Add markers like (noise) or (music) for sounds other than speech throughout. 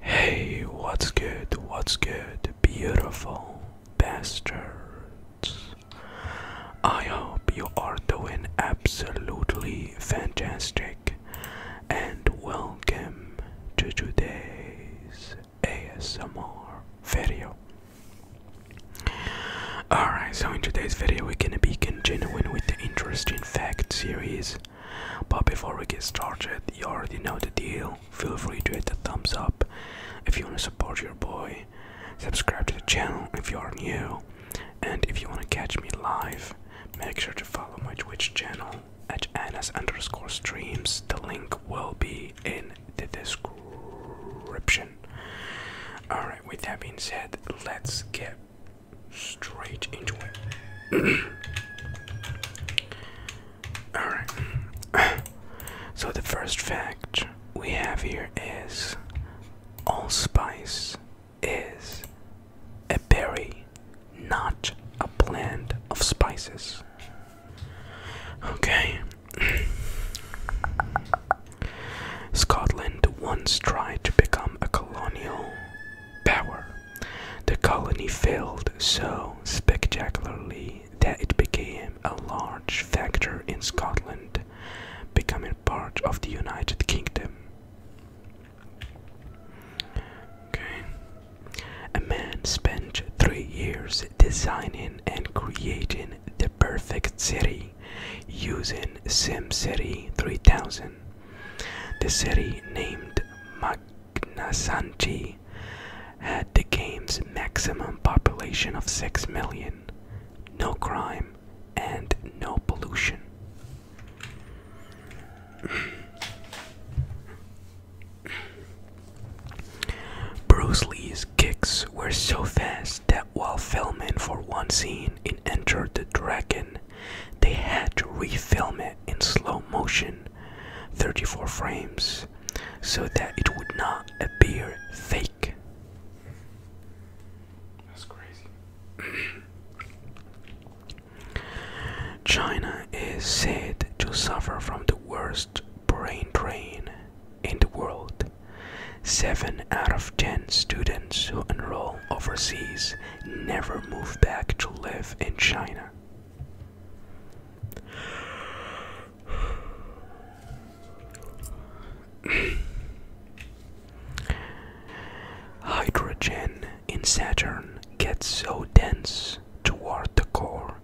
Hey, what's good? What's good, beautiful bastards? I hope you are doing absolutely fantastic and welcome to today's ASMR video. Alright, so in today's video, we're gonna be continuing with the interesting fact series but before we get started, you already know the deal. Feel free to hit the thumbs up if you want to support your boy. Subscribe to the channel if you are new. And if you want to catch me live, make sure to follow my Twitch channel at Anas underscore streams. The link will be in the description. Alright, with that being said, let's get straight into it. (clears throat) Alright. (clears throat) So the first fact we have here is allspice is a berry, not a blend of spices. Okay. (clears throat) Scotland once tried to become a colonial power. The colony failed so spectacularly that it became a large factor in Scotland, becoming part of the United Kingdom. Okay. A man spent three years designing and creating the perfect city using SimCity 3000. The city named Magnasanchi had the game's maximum population of 6 million, no crime, and no pollution. (clears throat) Bruce Lee's kicks were so fast that while filming for one scene in Enter the Dragon, they had to refilm it in slow motion 34 frames so that it would not appear fake that's crazy (clears throat) China is said to suffer from the worst brain drain in the world Seven out of ten students who enroll overseas never move back to live in China. (sighs) Hydrogen in Saturn gets so dense toward the core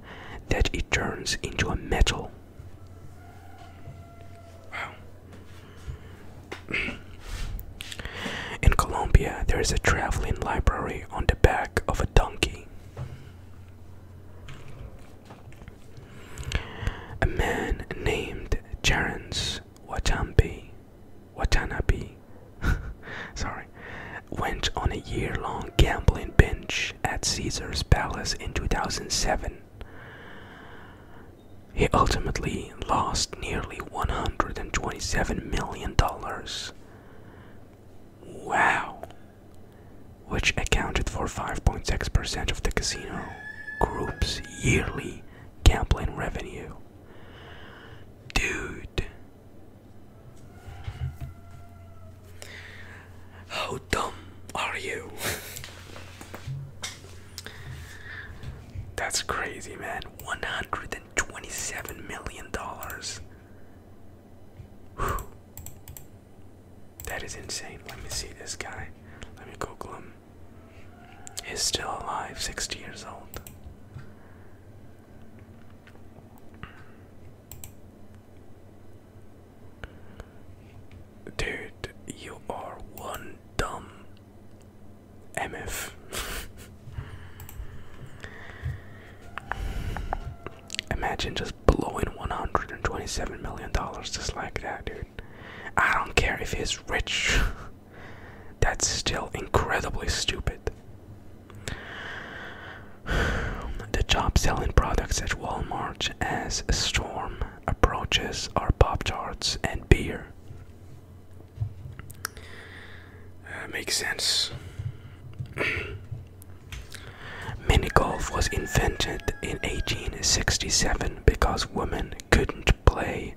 that it turns into a metal. (clears throat) In Colombia, there is a traveling library on the back of a donkey. A man named Charles Watanabe, Watanabe sorry, went on a year-long gambling binge at Caesar's Palace in 2007. He ultimately lost nearly $127 million. Wow! Which accounted for 5.6% of the casino group's yearly gambling revenue. Dude! How dumb are you? That's crazy, man. $127 million. That is insane. Let me see this guy. Let me go, Glum. He's still alive, 60 years old. Dude, you are one dumb MF. Imagine just blowing $127 million just like that, dude. I don't care if he's rich. (laughs) That's still incredibly stupid. (sighs) The job selling products at Walmart as Storm approaches are Pop Tarts and beer. Uh, makes sense. (clears throat) Mini golf was invented in 1867 because women couldn't play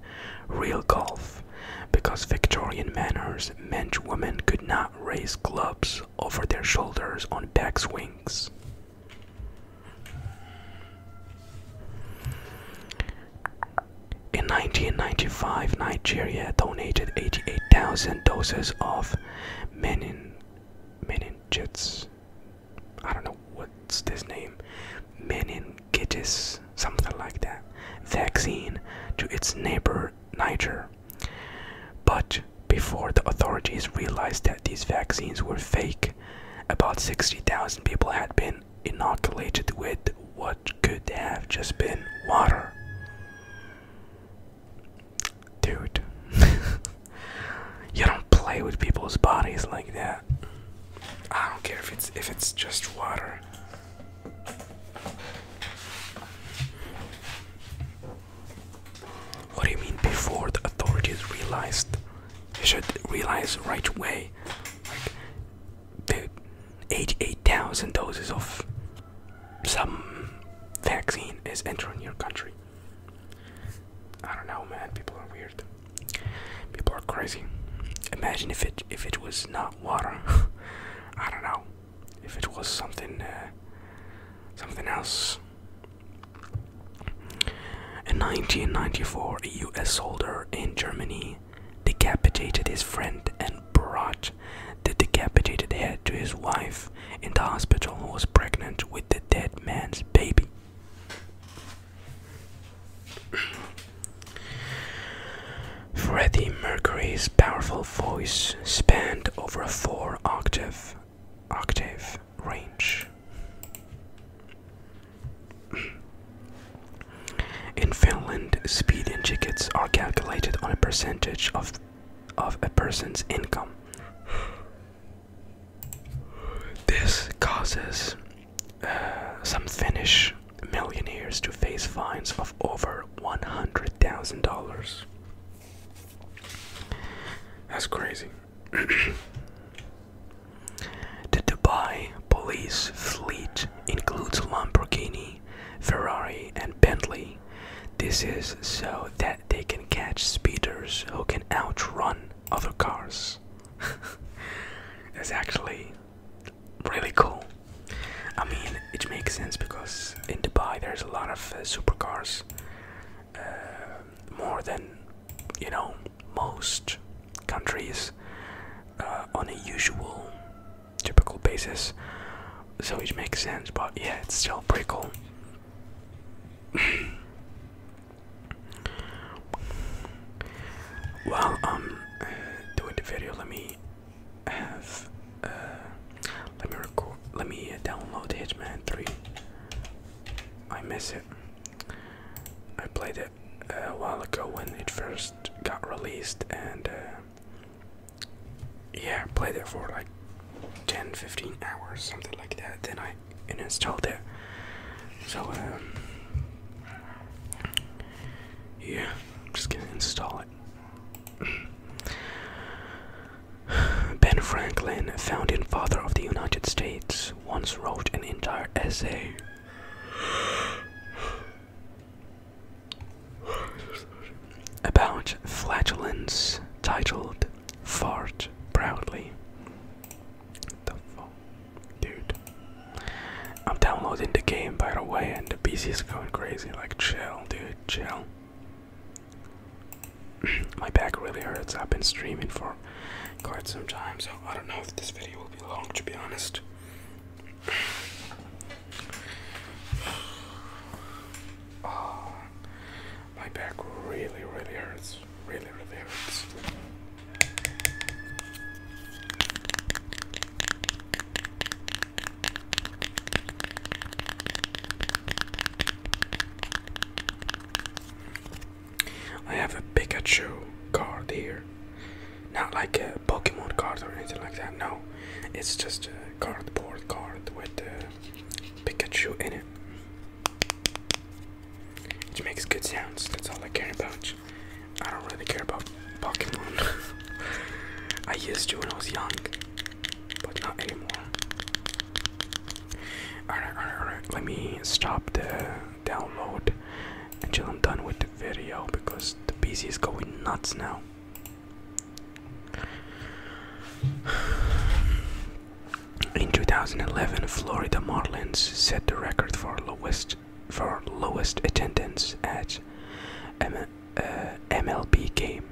real golf because Victorian manners meant women could not raise clubs over their shoulders on back swings. In 1995, Nigeria donated 88,000 doses of menin meningitis. I don't know what's this name, meningitis, something like that, vaccine to its neighbor Niger. But before the authorities realized that these vaccines were fake, about 60,000 people had been inoculated with what could have just been water. Dude, (laughs) you don't play with people's bodies like that. I don't care if it's if it's just water. What do you mean before the authorities realized? they should realize right away. Like, the 88,000 doses of some vaccine is entering your country. I don't know, man. People are weird. People are crazy. Imagine if it if it was not water. (laughs) I don't know if it was something uh, something else. In 1994, a US soldier in Germany decapitated his friend and brought the decapitated head to his wife in the hospital who was pregnant with the dead man's baby. Freddie Mercury's powerful voice spanned over four octaves octave range. In Finland, speeding tickets are calculated on a percentage of of a person's income. This causes uh, some Finnish millionaires to face fines of over $100,000. That's crazy. (clears throat) the Dubai police fleet includes Lamborghini, Ferrari, and Bentley. This is so that they can catch speeders who can outrun other cars. (laughs) That's actually really cool. I mean, it makes sense because in Dubai there's a lot of uh, supercars, uh, more than you know most countries uh, on a usual, typical basis. So it makes sense, but yeah, it's still pretty cool. (coughs) While um, doing the video, let me have uh, let me record let me uh, download Hitman 3. I miss it. I played it uh, a while ago when it first got released and yeah, played it for like 10 15 hours something like that. Then I installed it. So um, yeah, I'm just gonna install it. (sighs) Ben Franklin, founding father of the United States, once wrote an entire essay. (sighs) About flatulence titled Fart Proudly. dude. I'm downloading the game by the way, and the PC is going crazy. Like, chill, dude, chill. (clears throat) My back really hurts. I've been streaming for quite some time, so I don't know if this video will be long, to be honest. Oh, (sighs) my back really, really hurts. Really, really hurts. I have a Pikachu card here. Not like a Pokemon card or anything like that, no. It's just a cardboard card with uh, Pikachu in it. Which makes good sounds, that's all I care about. I don't really care about Pokemon. (laughs) I used to when I was young, but not anymore. alright, alright. Let me stop the download until I'm done with the video because the PC is going nuts now. (sighs) In 2011, Florida Marlins set the record for lowest for lowest attendance at MLB uh, game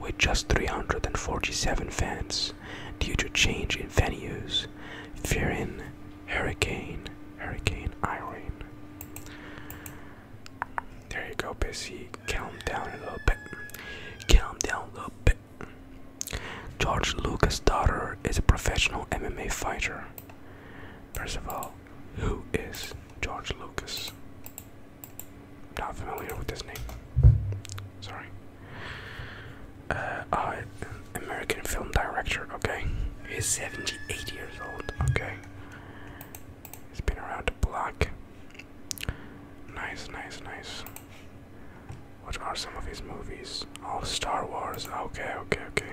with just 347 fans due to change in venues fearing Hurricane Hurricane Irene. There you go, Busy. Calm down a little bit. Calm down a little bit. George Lucas' daughter is a professional MMA fighter. First of all. Who is George Lucas? Not familiar with this name. Sorry. Uh, American film director, okay. He's 78 years old, okay. He's been around the block. Nice, nice, nice. What are some of his movies? Oh, Star Wars. Okay, okay, okay.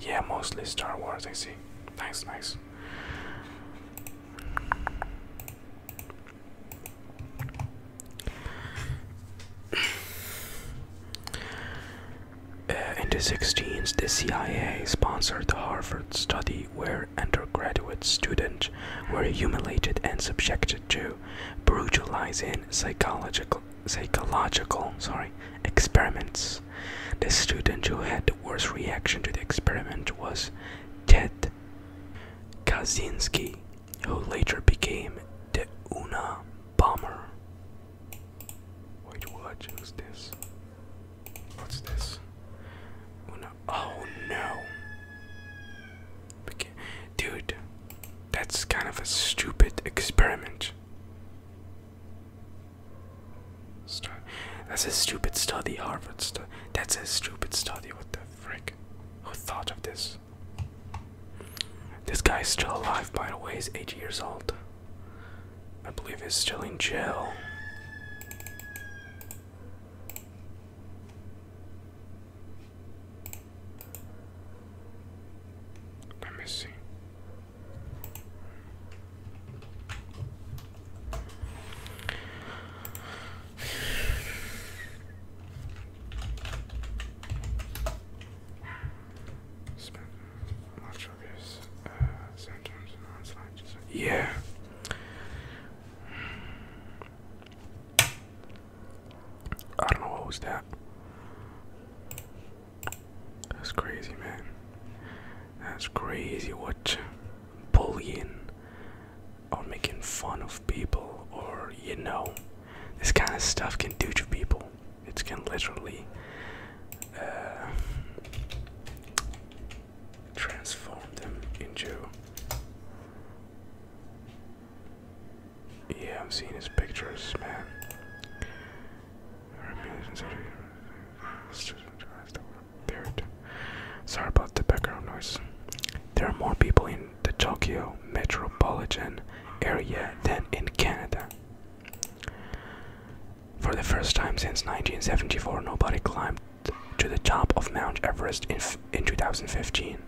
Yeah, mostly Star Wars, I see. Nice, nice. Uh, in the sixties, the CIA sponsored the Harvard study where undergraduate students were humiliated and subjected to brutalizing psychological psychological sorry experiments. The student who had the worst reaction to the experiment was Ted Kaczynski, who later became the Una bomber. Wait, this? What's this? Oh no! Dude, that's kind of a stupid experiment. That's a stupid study, Harvard. That's a stupid study. What the frick? Who thought of this? This guy's still alive, by the way. He's eight years old. I believe he's still in jail. Let me see. Spent much of his uh, symptoms and onslaught. Yeah. I don't know what was that. That's crazy, man. That's crazy what bullying or making fun of people or you know this kind of stuff can do to people. It can literally uh, transform them into yeah, I'm seeing his pictures, man. Sorry about the background noise. There are more people in the Tokyo metropolitan area than in Canada. For the first time since 1974, nobody climbed to the top of Mount Everest in, in 2015.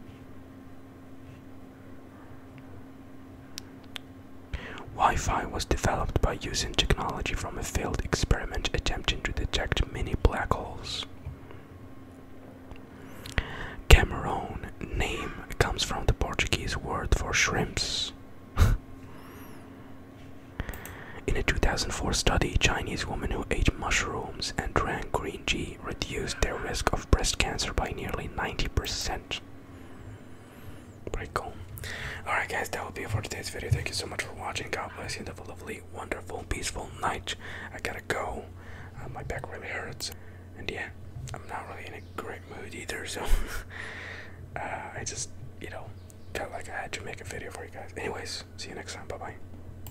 Wi-Fi was developed by using technology from a failed experiment attempting to detect mini black holes. Cameron name comes from the Portuguese word for shrimps. (laughs) In a 2004 study, Chinese women who ate mushrooms and drank green CBG reduced their risk of breast cancer by nearly 90%. Pretty cool. Alright, guys, that will be it for today's video. Thank you so much for watching. God bless you. Have a lovely, wonderful, peaceful night. I gotta go. Uh, my back really hurts. And yeah, I'm not really in a great mood either, so (laughs) uh, I just, you know, felt like I had to make a video for you guys. Anyways, see you next time. Bye bye.